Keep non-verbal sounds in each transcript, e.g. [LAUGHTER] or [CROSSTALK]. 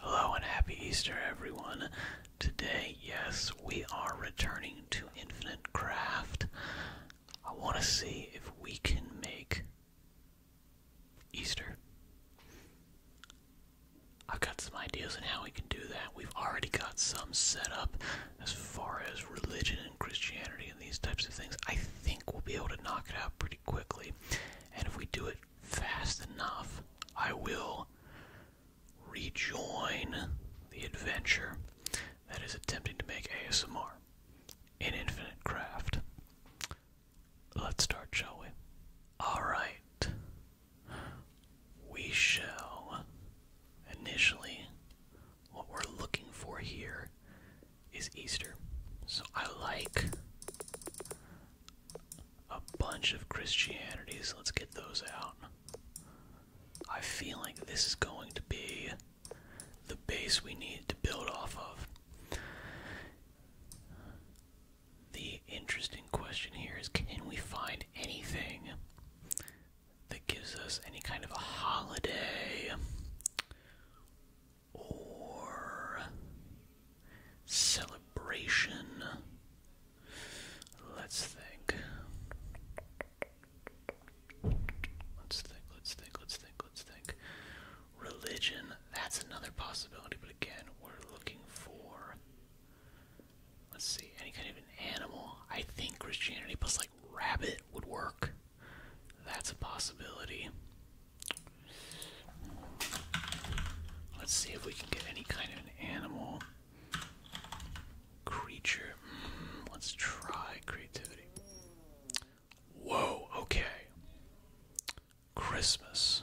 Hello and happy Easter, everyone. Today, yes, we are returning to Infinite Craft. I want to see if we can make Easter. I've got some ideas on how we can do that. We've already got some set up as far as religion and Christianity and these types of things. I think we'll be able to knock it out pretty quickly. And if we do it fast enough, I will rejoin the adventure that is attempting to make ASMR an infinite craft. Let's start, shall we? Alright. We shall. Initially, what we're looking for here is Easter. So I like a bunch of Christianities. Let's get those out. I feel like this is going to be the base we need to build off of. The interesting question here is can we find anything that gives us any kind of a holiday or Celebration. Let's think. Let's think, let's think, let's think, let's think. Religion, that's another possibility, but again, we're looking for. Let's see, any kind of an animal. I think Christianity plus like rabbit would work. That's a possibility. Let's see if we can get any kind of an animal creature. Hmm, let's try creativity. Whoa, okay. Christmas.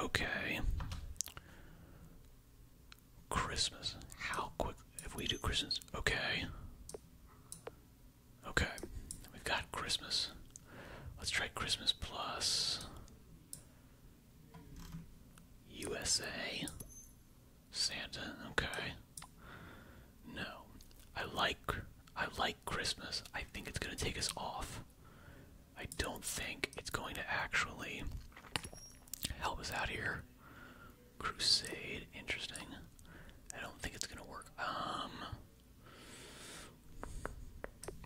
Okay. Christmas. How quick if we do Christmas? Okay. Okay. We've got Christmas. Let's try Christmas Plus. USA. Santa, okay. No. I like I like Christmas. I think it's gonna take us off. I don't think it's going to actually help us out here. Crusade, interesting. I don't think it's gonna work. Um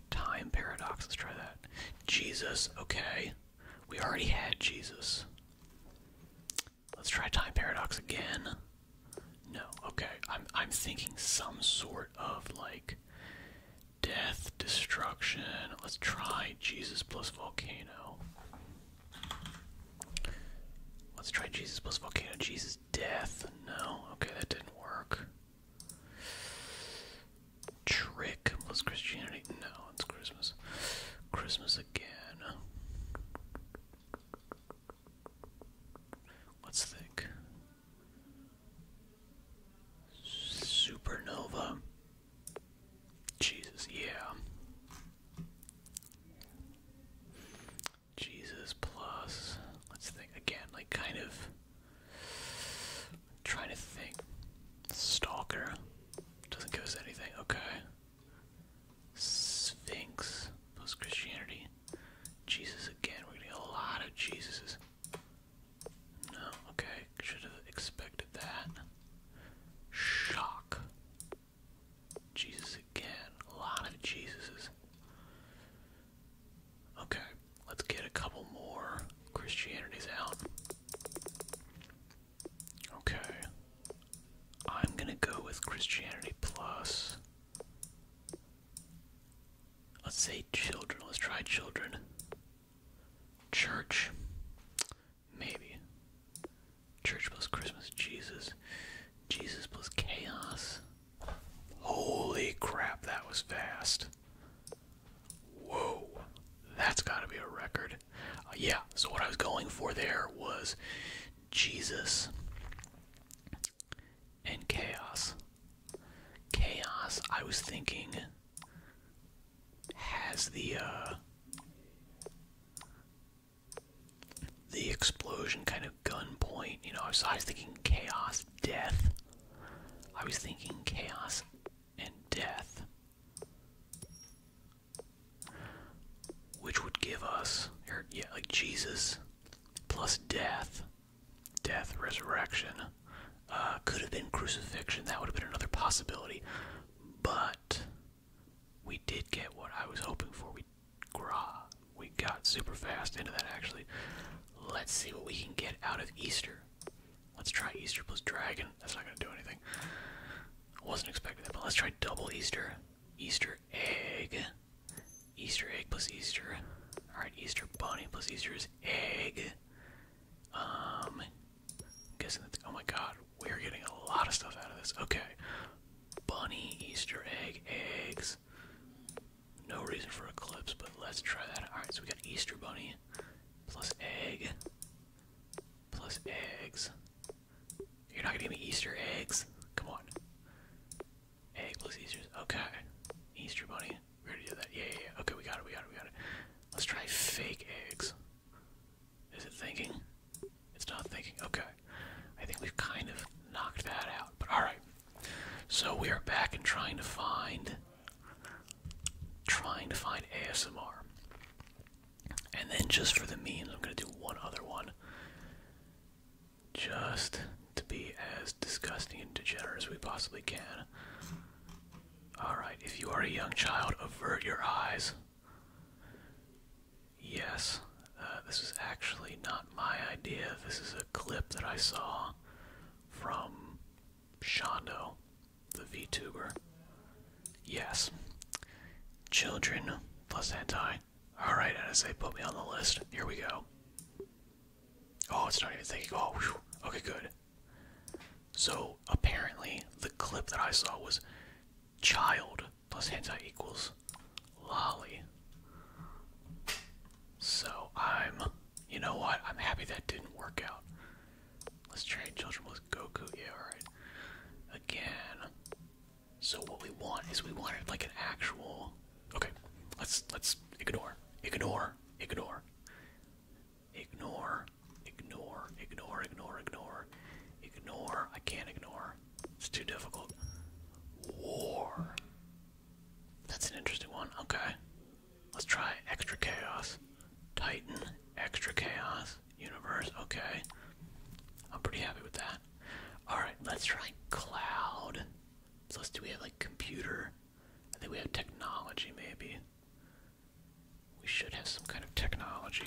Time paradox. Let's try that. Jesus. Okay. We already had Jesus. Let's try time paradox again. No. Okay. I'm I'm thinking some sort of like death, destruction. Let's try Jesus plus volcano. Let's try Jesus plus volcano. Jesus death. No. Okay, that didn't work. Trick was Christianity. No, it's Christmas. Christmas again. Let's think. Supernova. Jesus, yeah. Jesus plus. Let's think again, like kind of trying to think. Stalker. Doesn't give us anything. Okay. Sphinx post Christianity. Jesus again. We're getting a lot of Jesuses. No, okay. Should have expected that. Shock. Jesus again. A lot of Jesus's. Okay, let's get a couple more Christianities out. Okay. I'm gonna go with Christianity plus. Let's say children. Let's try children. Church. Maybe. Church plus Christmas. Jesus. Jesus plus chaos. Holy crap, that was fast. Whoa, that's gotta be a record. Uh, yeah, so what I was going for there was Jesus and chaos. Chaos, I was thinking, has the, uh, the explosion kind of gunpoint. You know, so I was thinking chaos, death. I was thinking chaos and death. Which would give us, yeah, like Jesus plus death, death, resurrection. Uh, could have been crucifixion. That would have been another possibility. But we did get what I was hoping for. We gra we got super fast into that actually. Let's see what we can get out of Easter. Let's try Easter plus Dragon. That's not gonna do anything. I wasn't expecting that, but let's try double Easter. Easter egg. Easter egg plus Easter. Alright, Easter bunny plus Easter's egg. Um guessing that's oh my god, we're getting a lot of stuff out of this. Okay. Bunny, Easter egg, eggs. No reason for Eclipse, but let's try that. Alright, so we got Easter Bunny, plus egg, plus eggs. You're not gonna give me Easter eggs? Come on. Egg plus Easter, okay. Easter Bunny, we gonna do that. Yeah, yeah, yeah. Okay, we got it, we got it, we got it. Let's try fake eggs. Is it thinking? It's not thinking. Okay. I think we've kind of knocked that out. But alright. So we are back and trying to find trying to find ASMR. And then just for the means, I'm gonna do one other one. Just to be as disgusting and degenerate as we possibly can. Alright, if you are a young child, avert your eyes. Yes, uh, this is actually not my idea. This is a clip that I saw from Shondo, the VTuber. Yes. Children plus hentai. Alright, NSA, put me on the list. Here we go. Oh, it's not even thinking. Oh, okay, good. So, apparently, the clip that I saw was child plus hentai equals lolly. So I'm, you know what? I'm happy that didn't work out. Let's trade children with Goku. Yeah, alright. Again. So what we want is we wanted like an actual. Okay, let's let's ignore, ignore, ignore, ignore, ignore, ignore, ignore, ignore, ignore. I can't ignore. It's too difficult. War. That's an interesting one. Okay. Let's try Extra Chaos. Titan, Extra Chaos, Universe. Okay. I'm pretty happy with that. Alright, let's try Cloud. So let's do we have like computer? I think we have technology maybe. We should have some kind of technology.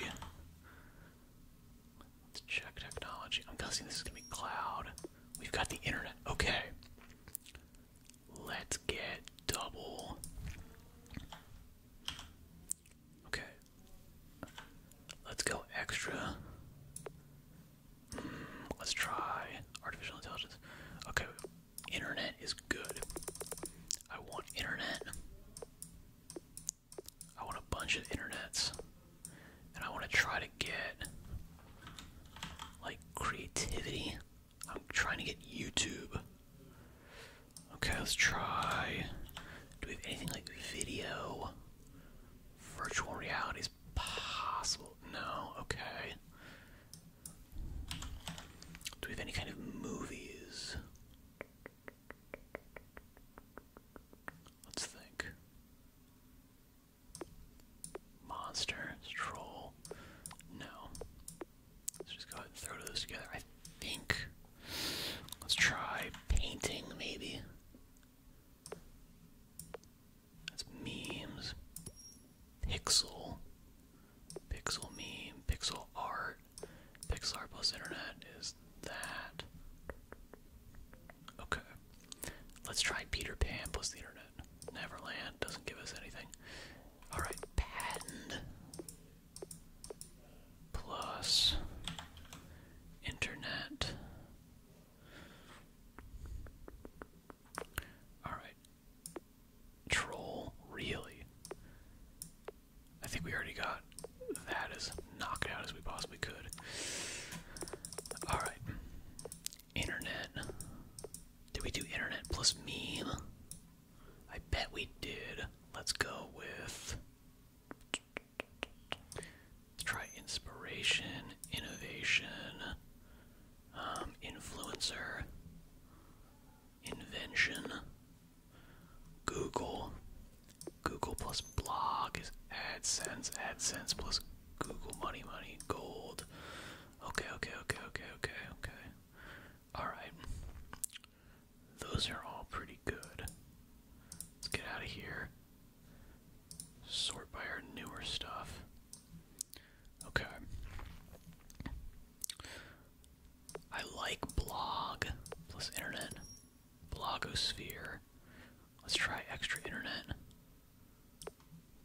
Let's check technology. I'm guessing this is gonna be cloud. We've got the internet. Okay. Let's get double. Okay. Let's go extra. Hmm, let's try artificial intelligence. Okay, internet is good. I want internet. I want a bunch of internets. And I want to try to get like creativity. I'm trying to get YouTube. Okay, let's try. Do we have anything like video? Virtual reality is possible. No, okay. Do we have any kind of movies? Let's think. Monster, troll. No. Let's just go and throw those together. I think. Let's try painting, maybe. That's memes. Pixel. Pixel meme. Pixel art. Pixel plus internet is that. Okay. Let's try Peter Pan plus the internet. Neverland doesn't give us anything. Alright, patent plus internet. Alright. Troll, really? I think we already got that as knocked out as we possibly could. Alright. Internet. Did we do internet plus meme? I bet we did. Let's go with. Let's try inspiration, innovation, um, influencer, invention, Google. Google plus blog is AdSense, AdSense plus Google Money Money Gold. Okay, okay, okay, okay, okay, okay. Alright. Those are all pretty good. Let's get out of here. Sort by our newer stuff. Okay. I like blog plus internet. Blogosphere. Let's try extra internet.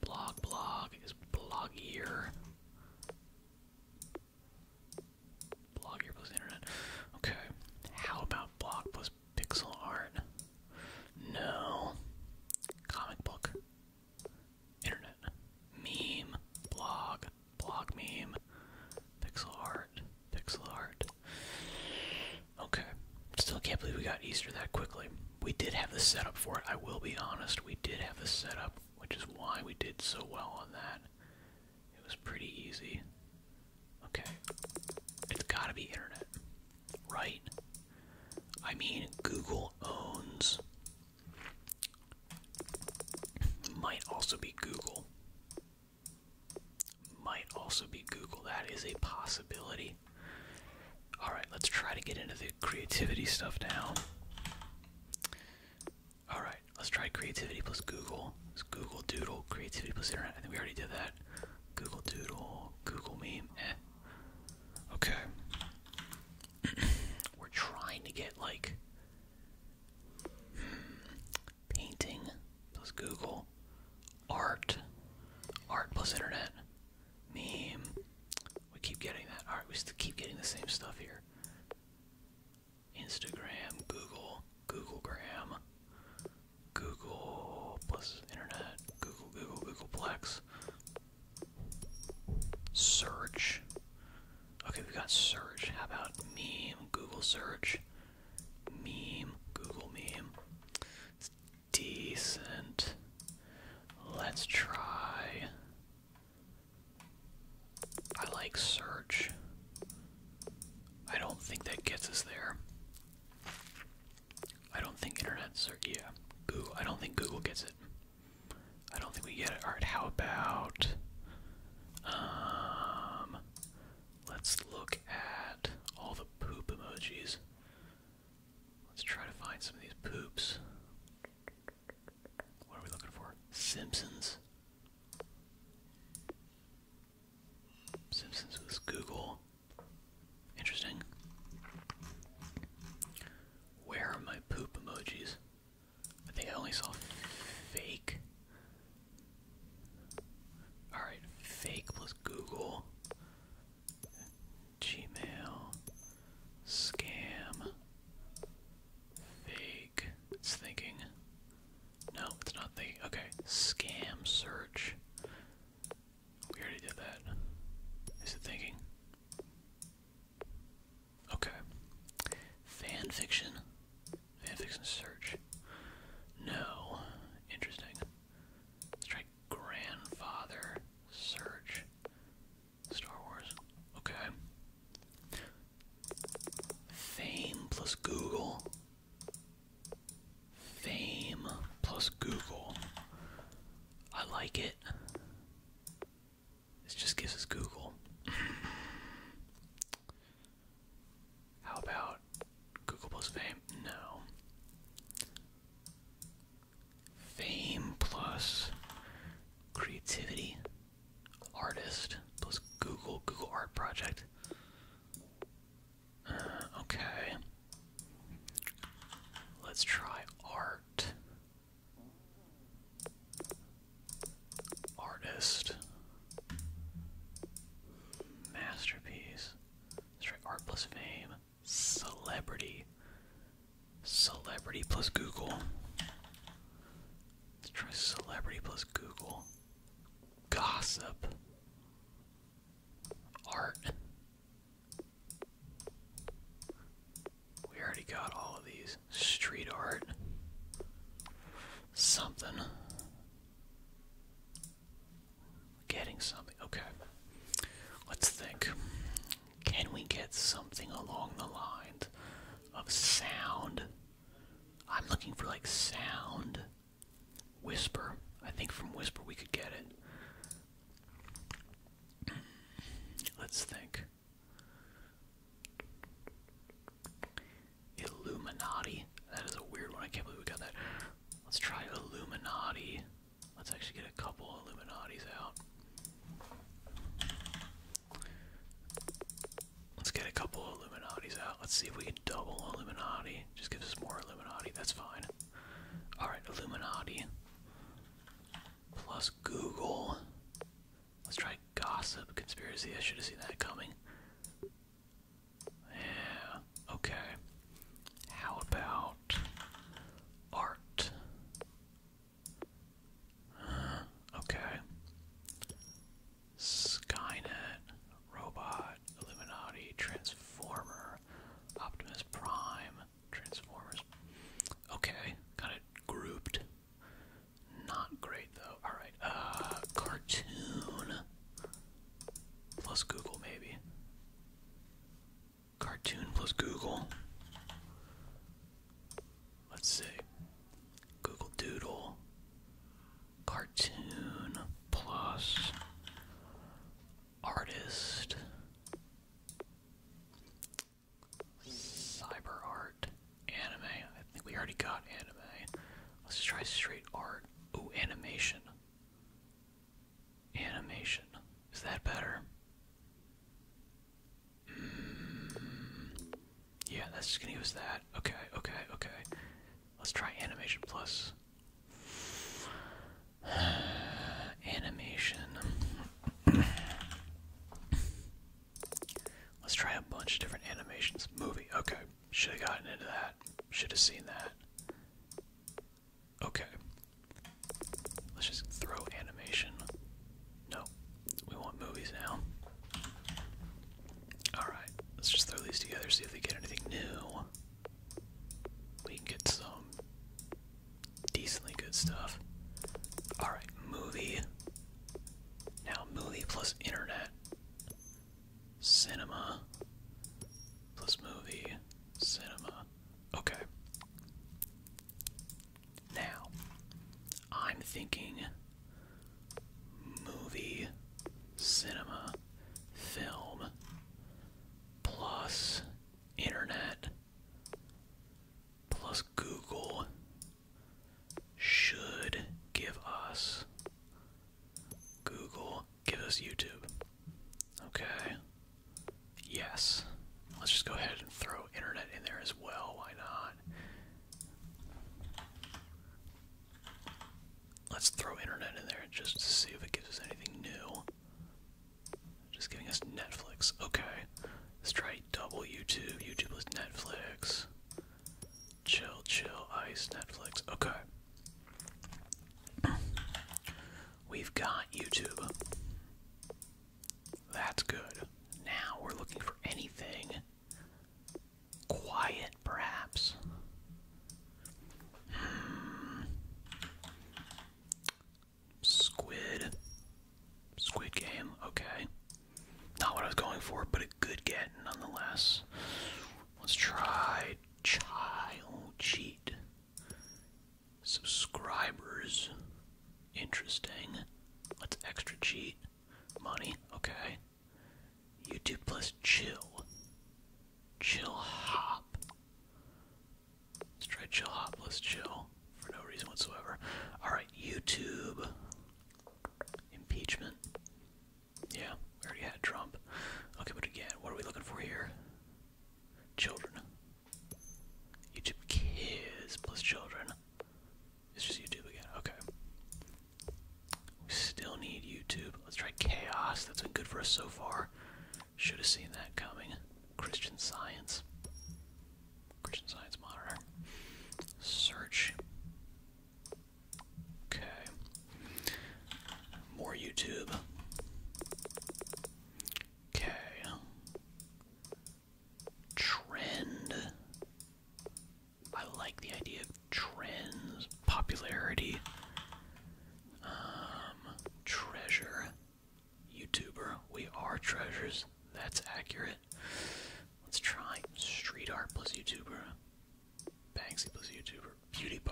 Blog blog is blog blogier. Blogier plus internet. Okay. How about blog plus pixel art? No. Comic book. Internet. Meme. Blog. Blog meme. Pixel art. Pixel art. Okay. Still can't believe we got Easter that quickly we did have the setup for it. I will be honest, we did have the setup, which is why we did so well on that. It was pretty easy. Okay. It's gotta be internet. Right? I mean, Google owns. Might also be Google. Might also be Google. That is a possibility. Alright, let's try to get into the creativity stuff now. Alright, let's try creativity plus Google. Let's Google Doodle, creativity plus internet. I think we already did that. Google Doodle, Google Meme, eh. Okay. [CLEARS THROAT] We're trying to get like painting plus Google, art, art plus internet. Meme. We keep getting that. Alright, we still keep getting the same stuff here. Instagram, Google, Googlegram, Google plus internet, Google, Google, Googleplex. Search. Okay, we got search. How about meme, Google search? Meme, Google meme decent. Let's try. I like search. I don't think that gets us there. I don't think internet search. Yeah, Google. I don't think Google gets it. I don't think we get it. All right, how about um, Let's look at all the poop emojis. Let's try to find some of these poops. What are we looking for? Simpsons. Simpsons was Google. Interesting. Where are my poop emojis? I think I only saw fake. Alright, fake plus Google. Gmail, scam, fake. It's thinking. No, it's not thinking. Okay, scam search. We already did that. Is it thinking? Okay. Fan fiction. Fan fiction search. No. Interesting. let grandfather search Star Wars. Okay. Fame plus Google. Fame plus Google. I like it. This just gives us Google. How about Google plus Fame? No. Fame plus creativity, artist plus Google, Google Art Project. Uh, okay. Let's try art. Artist. Masterpiece. Let's try art plus fame celebrity. Celebrity plus Google. Let's try celebrity plus Google. Gossip. Art. We already got all of these. Street art. Something. Getting something. Okay. Let's think. Can we get something along the lines of sound? I'm looking for like sound. Whisper. I think from Whisper we could get it. Let's think. Illuminati. That is a weird one. I can't believe we got that. Let's try Illuminati. Let's actually get a couple Illuminati's out. Let's get a couple Illuminati's out. Let's see if we can double Illuminati. Just gives us more Illuminati. That's fine. Alright, Illuminati. Plus Google. Let's try gossip conspiracy. I should have seen that coming. Yeah, okay. How about art. okay. Skynet, Robot, Illuminati, Transformer, Optimus Prime, Transformers. Okay, got it grouped. Not great though. Alright, uh, cartoon. Plus Google, maybe. Cartoon plus Google. Let's see. Google Doodle. Cartoon plus artist. Cyber art. Anime. I think we already got anime. Let's try straight art. Oh, animation. Animation. Is that better? Hmm. yeah, that's gonna use that. Okay, okay, okay. Let's try Animation Plus. [SIGHS] Animation. Let's try a bunch of different animations. Movie, okay. Should have gotten into that. Should have seen that. Okay. Let's just throw animation. No, we want movies now. Alright, let's just throw these together, see if they get anything new. We can get some decently good stuff. Alright, movie. Now, movie plus internet. Cinema plus movie. Cinema. Okay. Now, I'm thinking movie, cinema, film, plus internet, plus Google should give us Google, give us YouTube. Okay. Yes. Let's just go ahead and throw internet in there as well. Why not? Let's throw internet in there just to see if it gives us anything new. Just giving us Netflix. Okay. Let's try double YouTube. YouTube is Netflix. Chill, chill, ice, Netflix. Okay. We've got YouTube. That's good. Now we're looking for anything quiet, perhaps. Hmm. Squid. Squid game, okay. Not what I was going for, but a good get nonetheless. Let's try child cheat. Subscribers. Interesting. That's extra cheat. Money. Okay. YouTube plus chill. Chill hop. Let's try chill hop plus chill for no reason whatsoever. Alright, YouTube. Impeachment. Yeah, we already had Trump. Okay, but again, what are we looking for here? Children. YouTube kids plus children. It's just YouTube again. Okay. We still need YouTube. Let's try chaos. That's been good for us so far. Should have seen that coming. Christian Science. Christian Science Monitor. Search. Okay. More YouTube. Okay. Trend. I like the idea of trends. Popularity. Um, treasure. YouTuber. We are treasures. That's accurate. Let's try street art plus YouTuber. Banksy plus YouTuber. Beauty pie.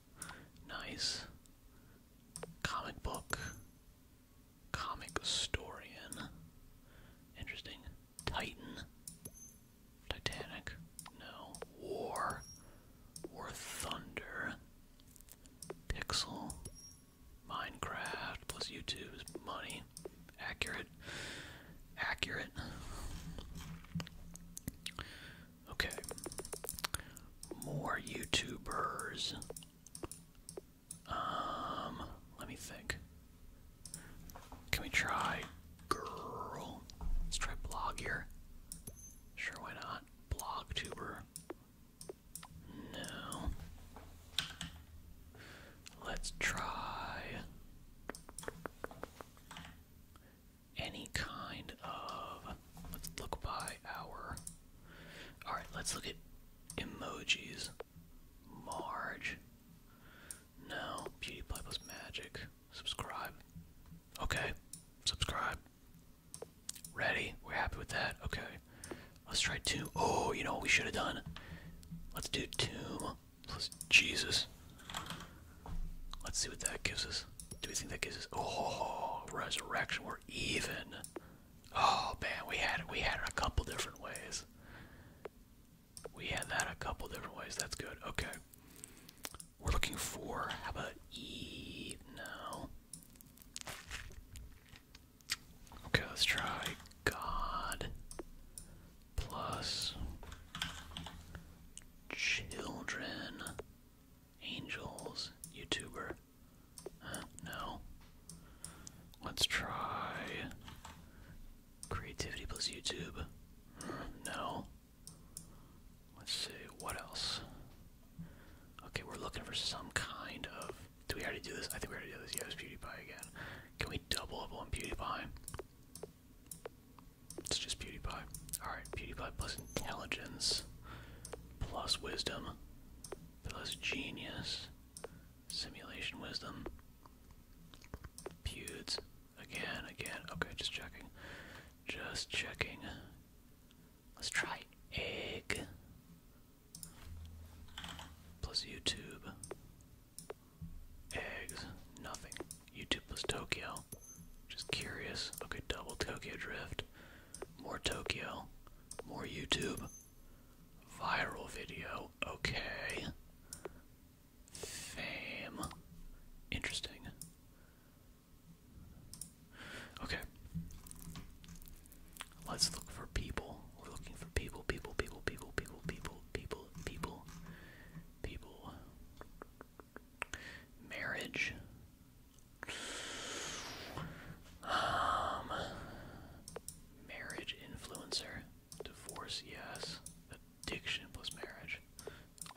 Nice. Comic book. Comic historian. Interesting. Titan. Titanic. No. War. War Thunder. Pixel. Minecraft plus YouTube is money. Accurate. Accurate. Okay. More YouTubers. Um, let me think. Can we try girl? Let's try blog here. Sure, why not? Blogtuber. No. Let's try any kind of let's look by our. Alright, let's look at emojis. Marge. No. Beauty plus Magic. Subscribe. Okay. Subscribe. Ready? We're happy with that. Okay. Let's try Tomb. Oh, you know what we should have done? Let's do Tomb plus Jesus. Let's see what that gives us. Do we think that gives us? Oh, resurrection. We're even. Oh man, we had it. We had it a couple different ways. We had that a couple different ways. That's good. Okay. We're looking for. How about E? No. Okay, let's try God plus children, angels, YouTuber. No. Let's try creativity plus YouTube. No. Let's see, what else? Okay, we're looking for some kind of. Do we already do this? I think we already do this. Yeah, it's PewDiePie again. Can we double up on PewDiePie? It's just PewDiePie. Alright, PewDiePie plus intelligence plus wisdom plus genius simulation wisdom pewds again again okay just checking just checking let's try egg plus youtube eggs nothing youtube plus tokyo just curious okay double tokyo drift more Tokyo, more YouTube, viral video, okay, fame, interesting. Okay, let's look for people. looking for people, people, people, people, people, people, people, people, people. Marriage, um, marriage influencer, divorce, yes, addiction plus marriage,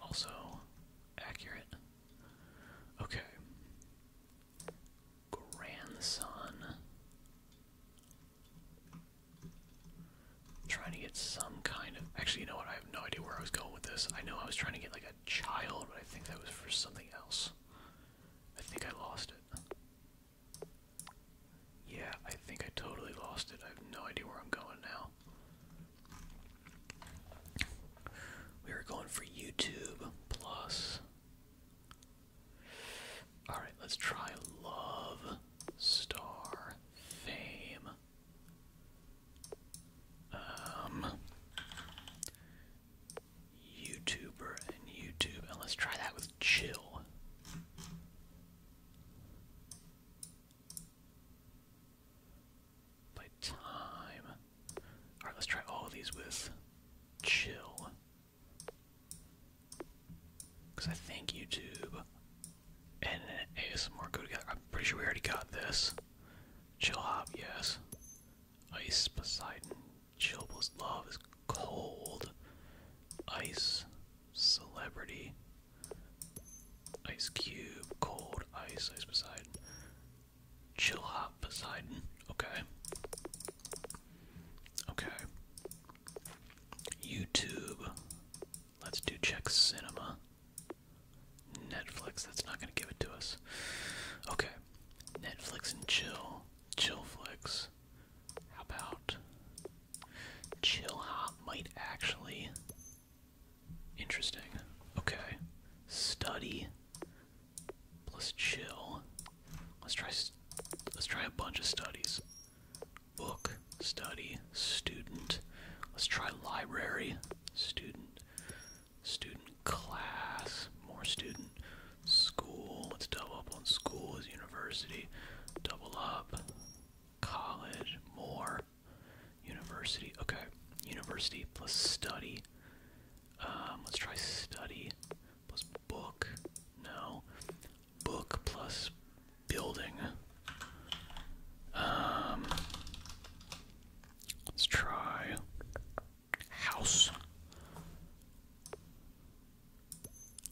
also accurate. Okay, grandson. Trying to get some kind of. Actually, you know what? I have no idea where I was going with this. I know I was trying to get like a child, but I think that was for something else. I think I lost it. Yeah, I think I totally lost it. I have no idea where I'm going now. We are going for YouTube Plus. Alright, let's try Love Star Fame. Um YouTuber and YouTube. And let's try that with chill. By time. Alright, let's try all of these with chill. Because I think YouTube and an ASMR go together. I'm pretty sure we already got this. Chill hop, yes. Ice Poseidon. Chilbla's love is cold. Ice celebrity. Ice Cube. Cold. Ice. Ice Poseidon. Chill hop Poseidon. Okay. Okay. YouTube. Let's do check cinema. Netflix, that's not gonna give it to us. Okay. Netflix and chill. Chill flicks. How about Chill Hop might actually Interesting. Okay. Study plus chill. Let's try let's try a bunch of studies. Book, study, student. Let's try library, student student class, more student school. Let's double up on school as university. Double up college, more university. Okay, university plus study. Um, let's try study plus book. No, book plus building. Um, let's try House.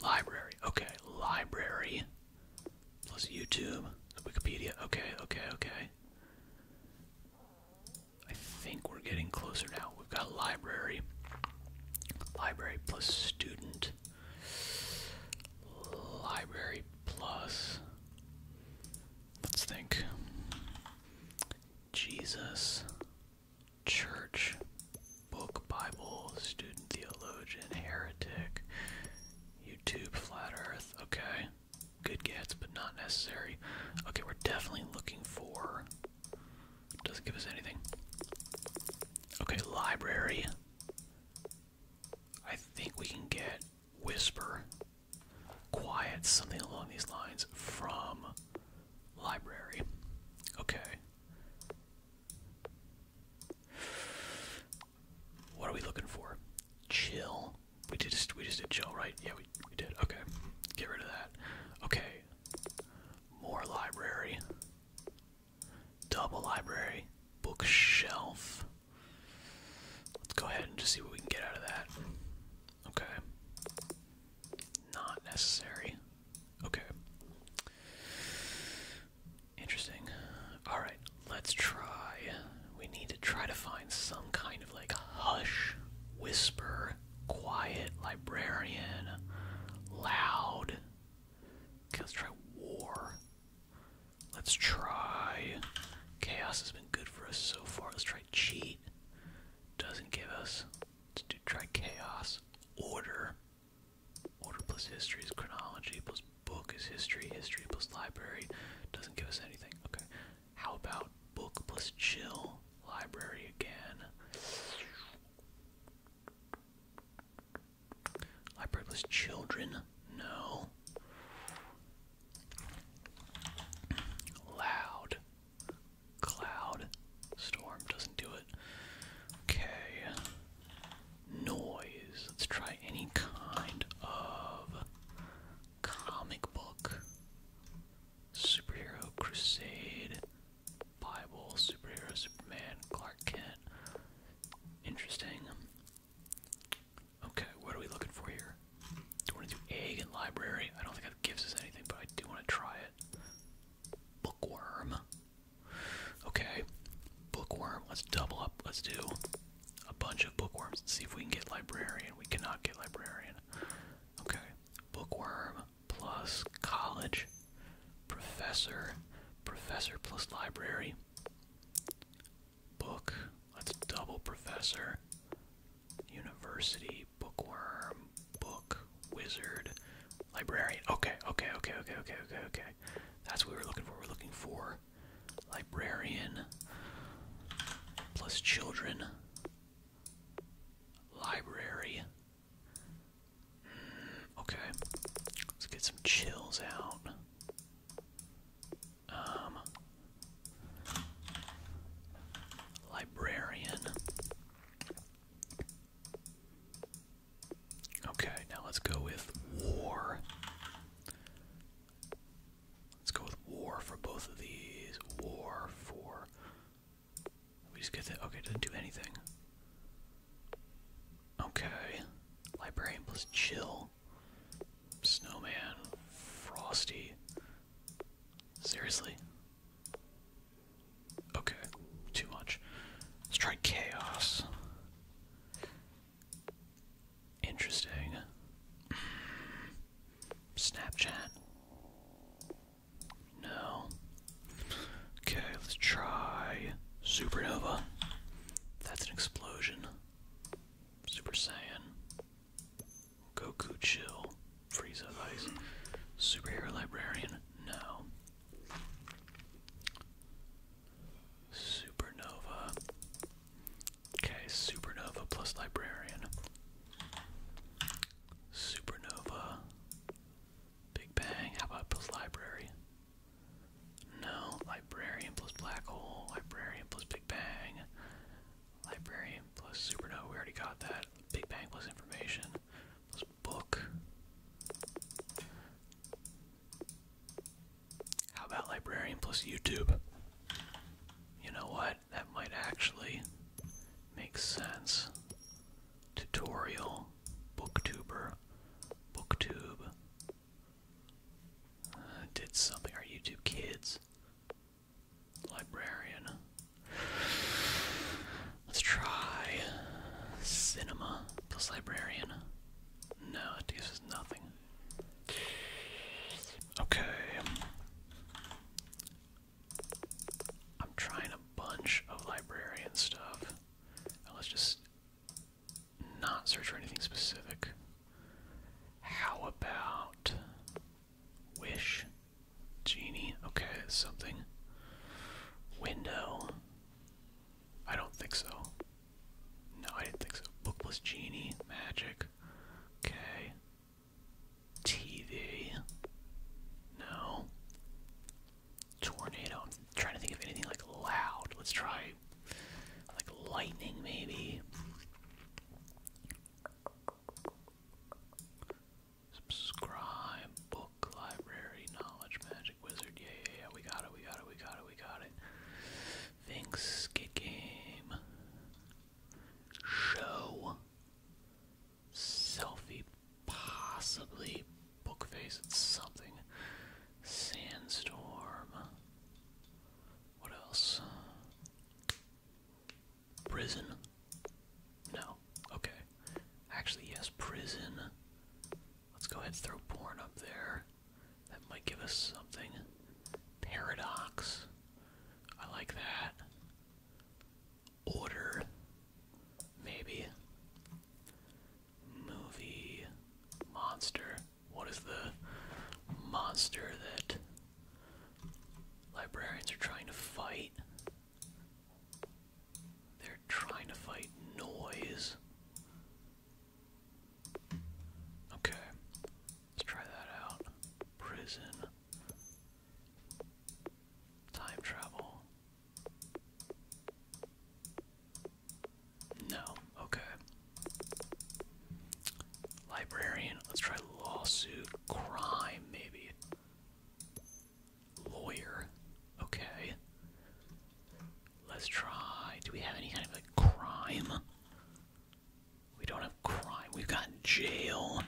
Library. Okay, library. Plus YouTube. Wikipedia. Okay, okay, okay. I think we're getting closer now. We've got library. Library plus student. Library plus. Let's think. Jesus, church, book, Bible, student, theologian, heretic, YouTube, flat earth. Okay, good gets, but not necessary. Okay, we're definitely looking for. Doesn't give us anything. Okay, library. I think we can get whisper, quiet, something along these lines from library. Okay. What are we looking for? Chill. We did just we just did chill, right? Yeah, we we did. Okay. Get rid of that. Okay. More library. Double library. Bookshelf. Let's go ahead and just see what we can get out of that. Okay. Not necessary. Okay. Interesting. Alright, let's try. We need to try to find some kind of like hush, whisper, quiet, librarian, loud. let's try war. Let's try. Chaos has been good for us so far. Let's try cheat. Doesn't give us. Let's do try chaos. Order. Order plus history is chronology, plus book is history, history plus library. Doesn't give us anything. Okay. How about book plus chill? Library again. Library plus children? No. Loud. Cloud. Storm doesn't do it. Okay. Noise. Let's try any kind of comic book. Superhero Crusade. Bible. Superhero Superman. Clark Kent. Interesting. Okay, what are we looking for here? Do we want to do egg and library? I don't think that gives us anything, but I do want to try it. Bookworm. Okay, bookworm. Let's double up. Let's do a bunch of bookworms and see if we can get librarian. We cannot get librarian. Okay, bookworm plus college, professor, professor plus library, book. Let's double professor. University, bookworm, book, wizard, librarian. Okay, okay, okay, okay, okay, okay, okay. That's what we were looking for. We're looking for librarian plus children. Library. Hmm, okay. Let's get some chills out. Um Librarian. Okay, now let's go with war. Let's go with war for both of these. War for. We just get that. Okay, it doesn't do anything. Okay. Librarian plus chill. Snowman. Frosty. Seriously? Okay, too much. Let's try chaos. Interesting. Snapchat. No. Okay, let's try supernova. That's an explosion. Super Saiyan. Goku Chill, freeze Frieza Vice, Superhero Librarian, no. Supernova. Okay, Supernova plus Librarian. Supernova. Big Bang, how about plus Library? No, Librarian plus Black Hole, Librarian plus Big Bang. Library plus supernova, we already got that. Big Bang plus information plus book. How about librarian plus YouTube? You know what? That might actually make sense. Tutorial, booktuber, booktube. Uh, did something. Our YouTube kids. Librarian. Let's try cinema plus librarian. No, it gives us nothing. Okay. I'm trying a bunch of librarian stuff. let's just not search for anything specific. How about Wish. Genie. Okay, something. Window. I don't think so. No, I didn't think so. Book plus genie. Magic. Okay. TV. No. Tornado. I'm trying to think of anything like loud. Let's try like lightning maybe. Subscribe, book, library, knowledge, magic, wizard. Yeah, yeah, We got it, we got it, we got it, we got it. Thanks, get game. Show. Selfie, possibly. Book something. Sandstorm. What else? Prison? No. Okay. Actually, yes, prison. Let's go ahead and throw porn up there. That might give us something. Paradox. I like that. Order. Maybe. Movie. Monster. What is the monster that Librarians are trying to fight. They're trying to fight noise. Okay, let's try that out. Prison. Time travel. No, okay. Librarian, let's try lawsuit crime, maybe. Lawyer. Okay. Let's try. Do we have any kind of like crime? We don't have crime. We've got jail.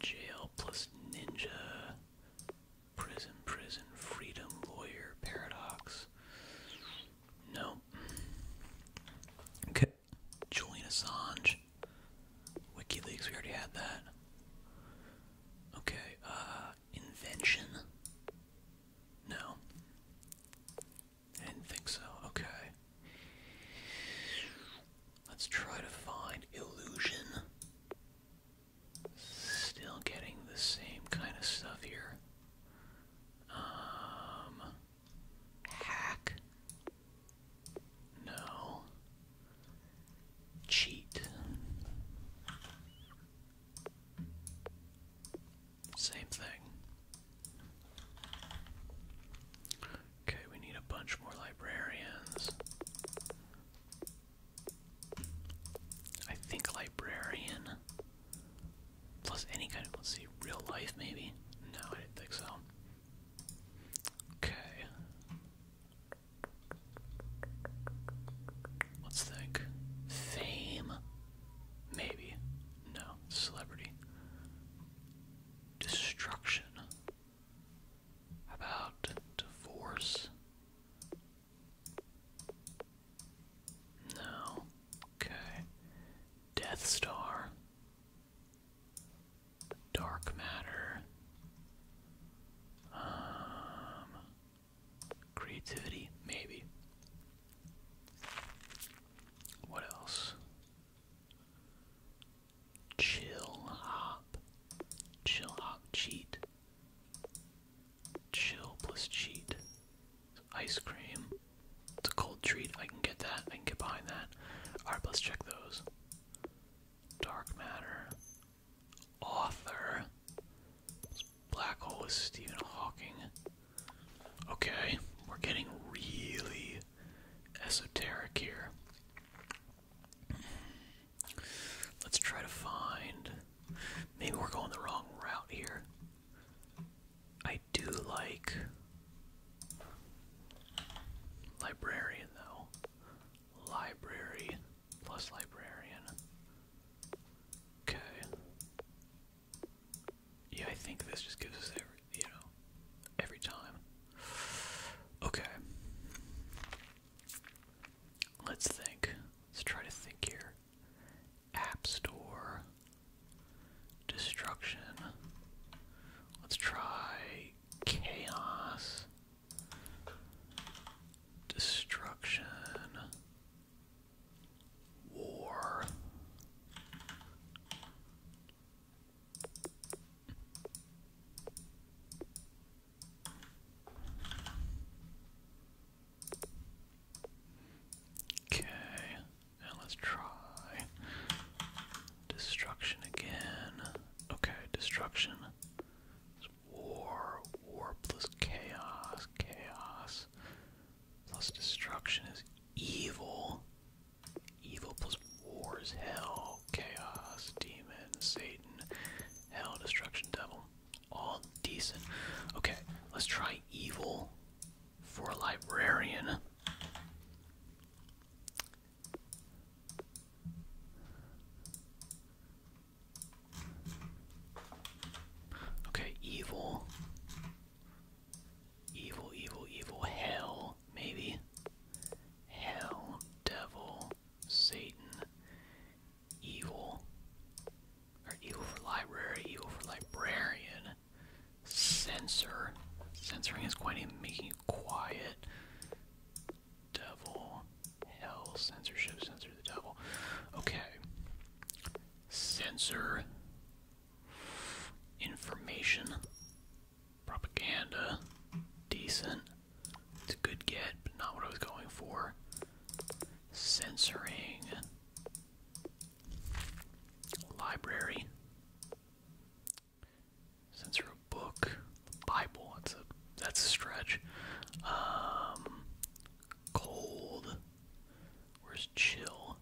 Jail plus ninja. Prison, prison, freedom, lawyer, paradox. No, Okay. Julian Assange. WikiLeaks, we already had that. Okay, uh, invention? No. I didn't think so. Okay. Let's try to find illusion. Still getting the same kind of stuff here. Um, Hack? No. Cheat. Same thing. Okay, we need a bunch more librarians. I think librarian Plus any kind of, let's see, real life maybe? No, I didn't think so. Okay. Let's think. Fame? Maybe. No. Celebrity. Destruction. about divorce? No. Okay. Death Star, Dark Matter, um, Creativity, maybe. What else? Chill hop, chill hop cheat, chill plus cheat ice cream. It's a cold treat. I can get that. I can get behind that. Alright, let's check those. Dark matter. Author. Black hole is Stephen Hawking. Okay, we're getting really esoteric here. Let's try to find. Maybe we're going the wrong route here. I do like librarian though. Library plus librarian. Okay. Yeah, I think this just gives us every, you know, every time. Okay. Let's think. Let's try to think here. App Store. Destruction. Let's try chaos. Destruction. War. Okay let's try destruction again. Okay, destruction. war, war plus chaos, chaos plus destruction is evil. Evil plus war is hell, chaos, demon, Satan, hell, destruction, devil. All decent. Okay, let's try evil for librarian. Okay, evil. Evil, evil, evil. Hell, maybe. Hell, devil, Satan, evil. Or evil for library, evil for librarian. Censor. Censoring is quite a making it quiet. Devil. Hell. Censorship. Censor the devil. Okay. Censor. Information. Propaganda. Decent. It's a good get, but not what I was going for. Censoring. Library. Censor book. Bible. That's a stretch. Um, cold. Where's chill?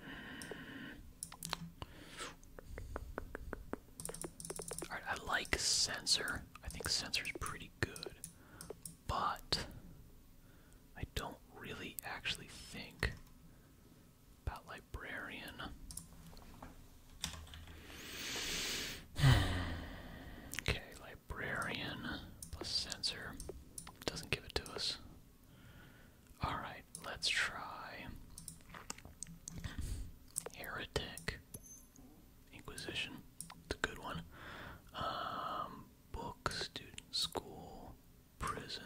Hmm. Alright, I like sensor. I think sensor's pretty good but I don't really actually think about librarian. [SIGHS] okay, librarian plus sensor doesn't give it to us. Alright, let's try heretic inquisition. It's a good one. Um, book, student, school, prison.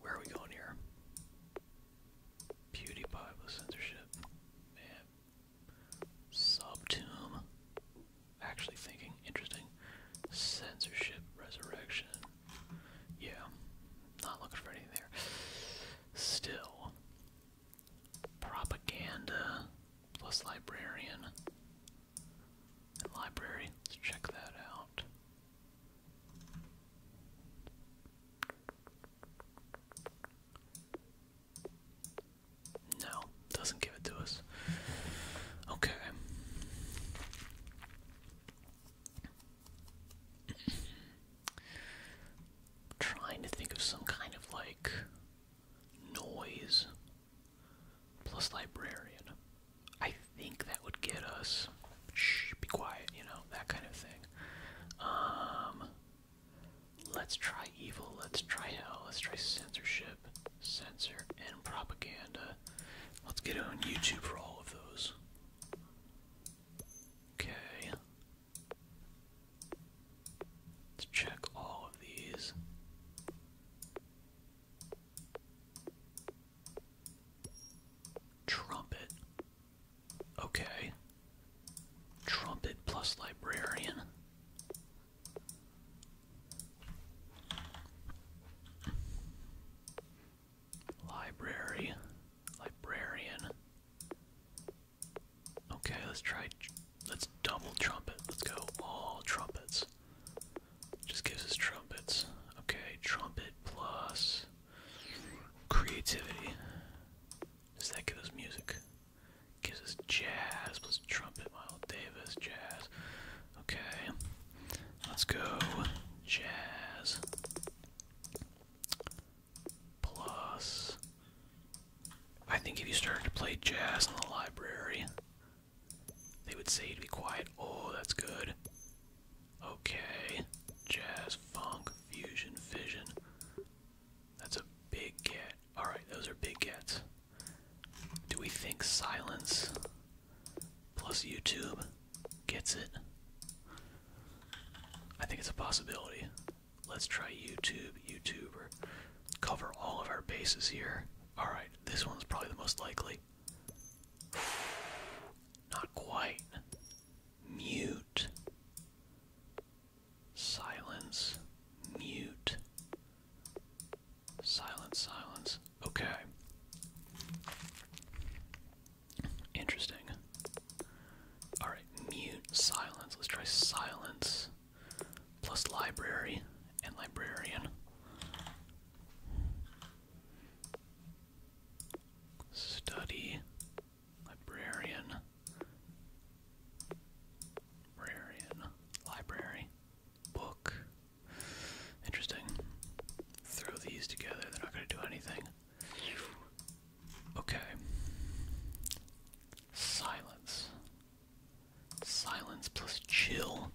Where are we going here? PewDiePie with censorship. Man. Subtomb. Actually thinking. Interesting. Censorship, resurrection. Yeah. Not looking for anything there. Still. Propaganda plus librarian. And library, let's check that out. No, doesn't give it to us. Okay. trying to think of some kind of like noise plus librarian. I think that would get us, shh, be quiet, you know, that kind of thing. Um, let's try evil, let's try hell, let's try censorship, censor, and propaganda. Let's get on YouTube for all of those. Okay. Let's check all of these. Trumpet. Okay. Trumpet plus librarian. Library, librarian, Okay, let's try. Let's double trumpet. Let's go all trumpets. Just gives us trumpets. Okay, trumpet plus creativity. Does that give us music? Gives us jazz plus trumpet. Miles Davis, jazz. Okay, let's go jazz plus I think if you started to play jazz in the library, they would say you to be quiet. Oh, that's good. Okay. Jazz, funk, fusion, fission. That's a big cat. Alright, those are big cats. Do we think silence plus YouTube gets it? I think it's a possibility. Let's try YouTube, YouTuber cover all of our bases here. Alright, this one's probably the most likely. [SIGHS] Not quite. Mute. Silence. Mute. Silence, silence. Okay. Interesting. Alright, mute, silence. Let's try silence plus library and librarian. Study, librarian, librarian, library, book. Interesting. Throw these together, they're not going to do anything. Okay. Silence. Silence plus chill.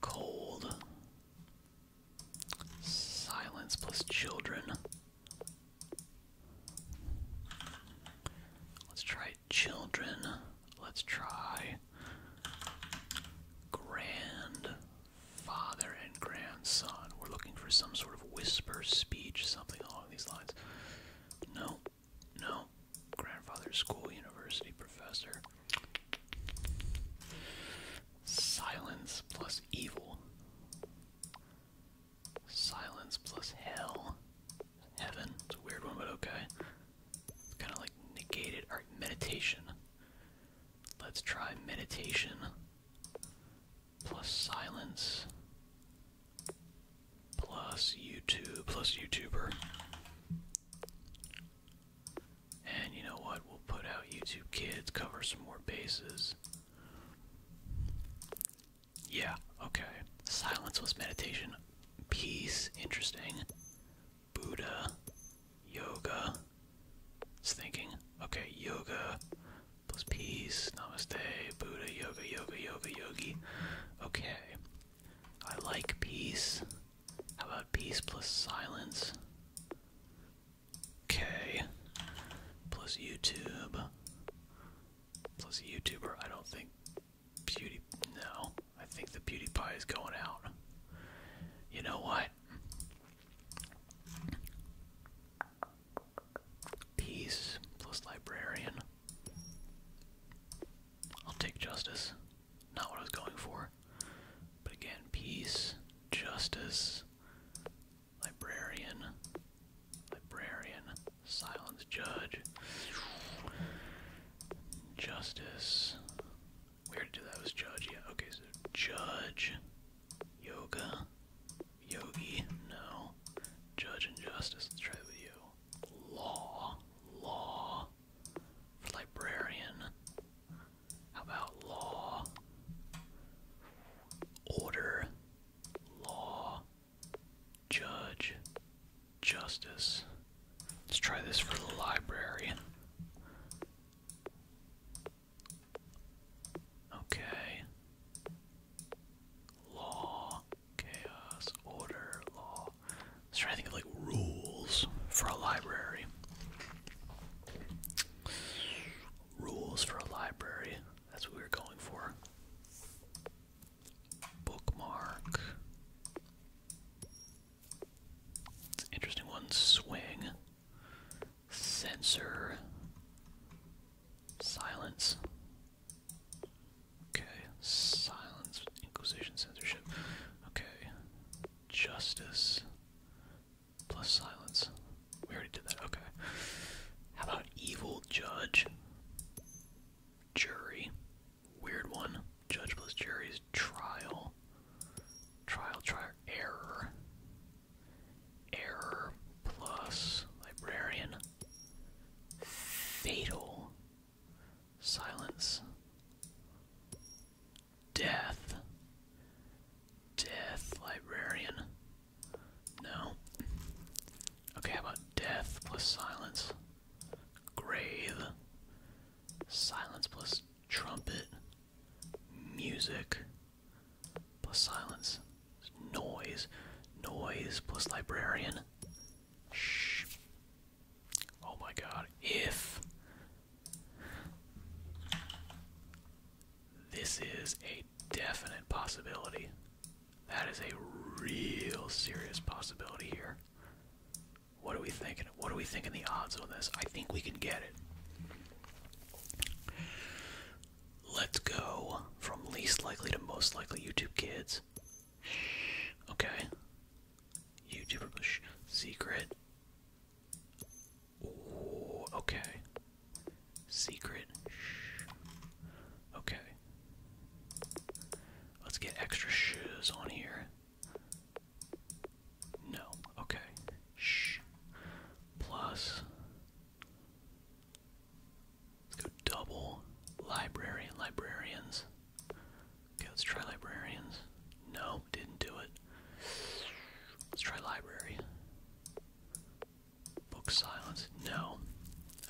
Cold. Silence plus children. Let's try children. Let's try grandfather and grandson. We're looking for some sort of whisper speech, something these lines. No, no. Grandfather, school, university, professor. Silence plus evil. Silence plus hell. Heaven. It's a weird one, but okay. Kind of like negated. meditation. Let's try meditation plus silence plus YouTube plus YouTuber. And you know what? We'll put out YouTube Kids, cover some more bases. Yeah, okay. Silence was meditation. Peace, interesting. Buddha, yoga. It's thinking. Okay, yoga, plus peace, namaste, Buddha, yoga, yoga, yoga, yogi. Okay. I like peace. How about peace plus silence? Okay. Plus YouTube. Plus YouTuber. I don't think Beauty. No. I think the Beauty Pie is going out. You know what? Peace plus librarian. I'll take justice. Not what I was going for. But again, peace, justice, librarian, librarian, silence, judge, justice. We to do that was judge, yeah. Okay, so judge, yoga, Yogi, no. Judge and justice, let's try with you. Law, law. librarian. How about law? Order, law, judge, justice. Let's try this for the librarian. Okay. Law, chaos, order, law. I was trying to think of like rules for a library. Rules for a library. That's what we are going for. Bookmark. interesting one. Swing. Censor, Silence. Okay. Silence. Inquisition censorship. Okay. Justice. Plus silence. We already did that. Okay. How about evil judge? Jury. Weird one. Judge plus jury is trial. Trial, trial, error. Error plus Librarian. Fatal. Silence. Death. Death Librarian. No. Okay, how about death plus silence? Grave. Silence plus trumpet. Music plus silence, noise, noise plus librarian. Shh. Oh my god, if this is a definite possibility. That is a real serious possibility here. What are we thinking? What are we thinking the odds on this? I think we can get it. Let's go from least likely to most likely YouTube kids. Okay. YouTuber secret. okay. Secret. Okay. Let's get extra shoes on here. No. Okay. Shh. Plus Let's go double library librarians. Okay, let's try librarians. No, didn't do it. Let's try library. Book silence. No.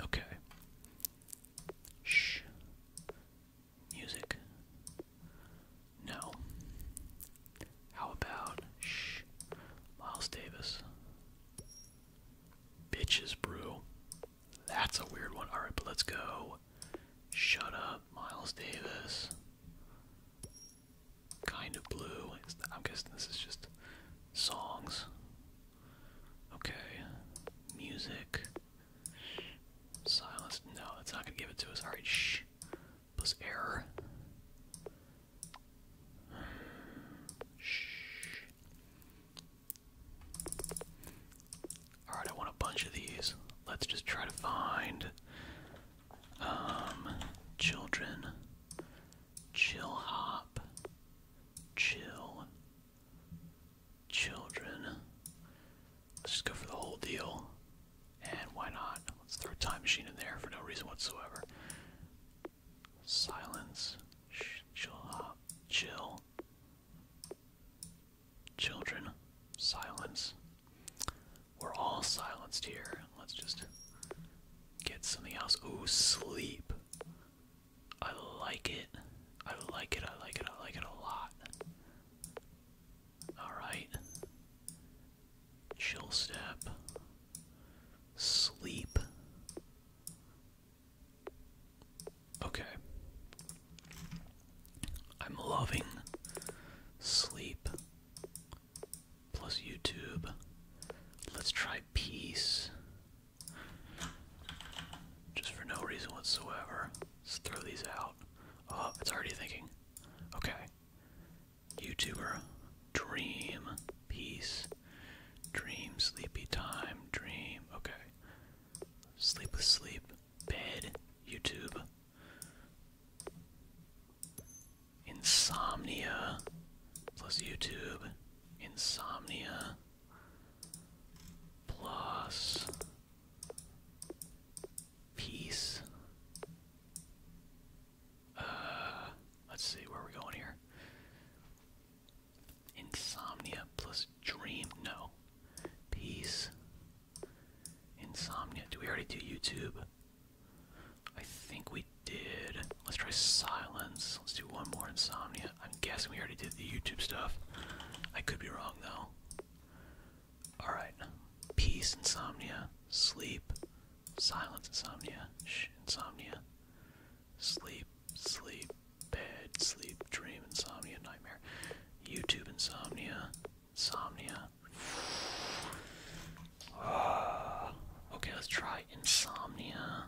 Okay. Shh. Music. No. How about shh? Miles Davis. Bitches Brew. That's a weird one. Alright, but let's go. Shut up, Miles Davis. Kind of blue. I'm guessing this is just songs. Okay. Music. Silence. No, it's not gonna give it to us. Alright, shh. Plus error. Shh. Alright, I want a bunch of these. Let's just try to find um children. Chill hop. Chill. Children. Let's just go for the whole deal. And why not? Let's throw a time machine in there for no reason whatsoever. Silence. chill. Up. Uh, chill. Children. Silence. We're all silenced here. Let's just get something else. Oh, sleep. I like it. I like it. I like it. I like it a lot. Alright. Chill step. Sleep. Okay. I'm loving sleep plus YouTube. Let's try peace. Just for no reason whatsoever. Let's throw these out. Oh, it's already thinking. Okay. YouTuber. Dream peace, dream, sleepy time, dream, okay. Sleep sleep, bed, YouTube, insomnia, plus YouTube, insomnia, plus peace, uh, let's see where we're going here. Insomnia plus dream. No. Peace. Insomnia. Do we already do YouTube? I think we did. Let's try silence. Let's do one more insomnia. I'm guessing we already did the YouTube stuff. I could be wrong though. Alright. Peace, insomnia. Sleep. Silence, insomnia. Shh, insomnia sleep, sleep, bed, sleep, dream, insomnia, nightmare, YouTube insomnia, insomnia. [SIGHS] okay, let's try insomnia.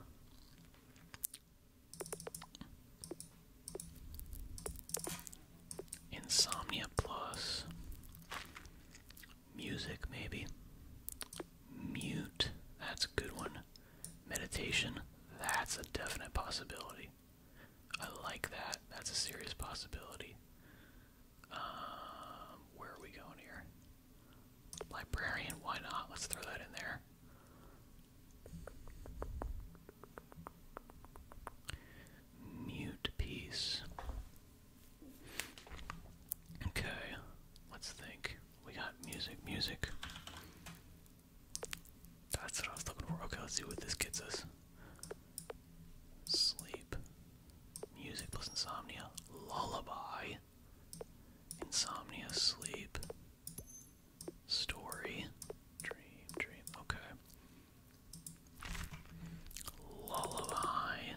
Insomnia plus Music, maybe. Mute. That's a good one. Meditation. That's a definite possibility. I like that. That's a serious possibility. Um, where are we going here? Librarian, why not? Let's throw that in there. Mute piece. Okay, let's think. We got music, music. That's what I was looking for. Okay, let's see what this gets us. Sleep. Music plus insomnia. Lullaby. Insomnia, sleep. Story. Dream, dream. Okay. Lullaby.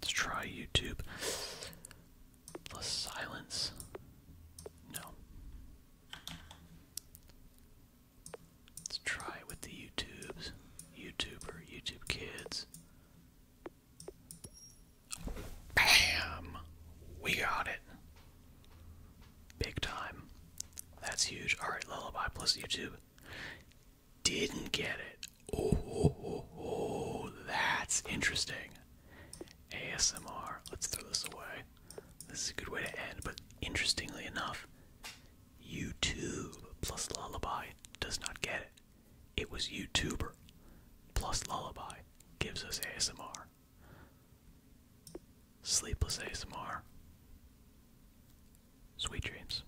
Let's try YouTube. The silence. No. Let's try with the YouTubes. YouTuber, YouTube kids. Bam! We got it. Big time. That's huge. Alright, Lullaby plus YouTube didn't get it. Oh, that's interesting. ASMR. Let's throw this away. This is a good way to end, but interestingly enough, YouTube plus Lullaby does not get it. It was YouTuber plus Lullaby gives us ASMR. Sleepless ASMR. Sweet dreams.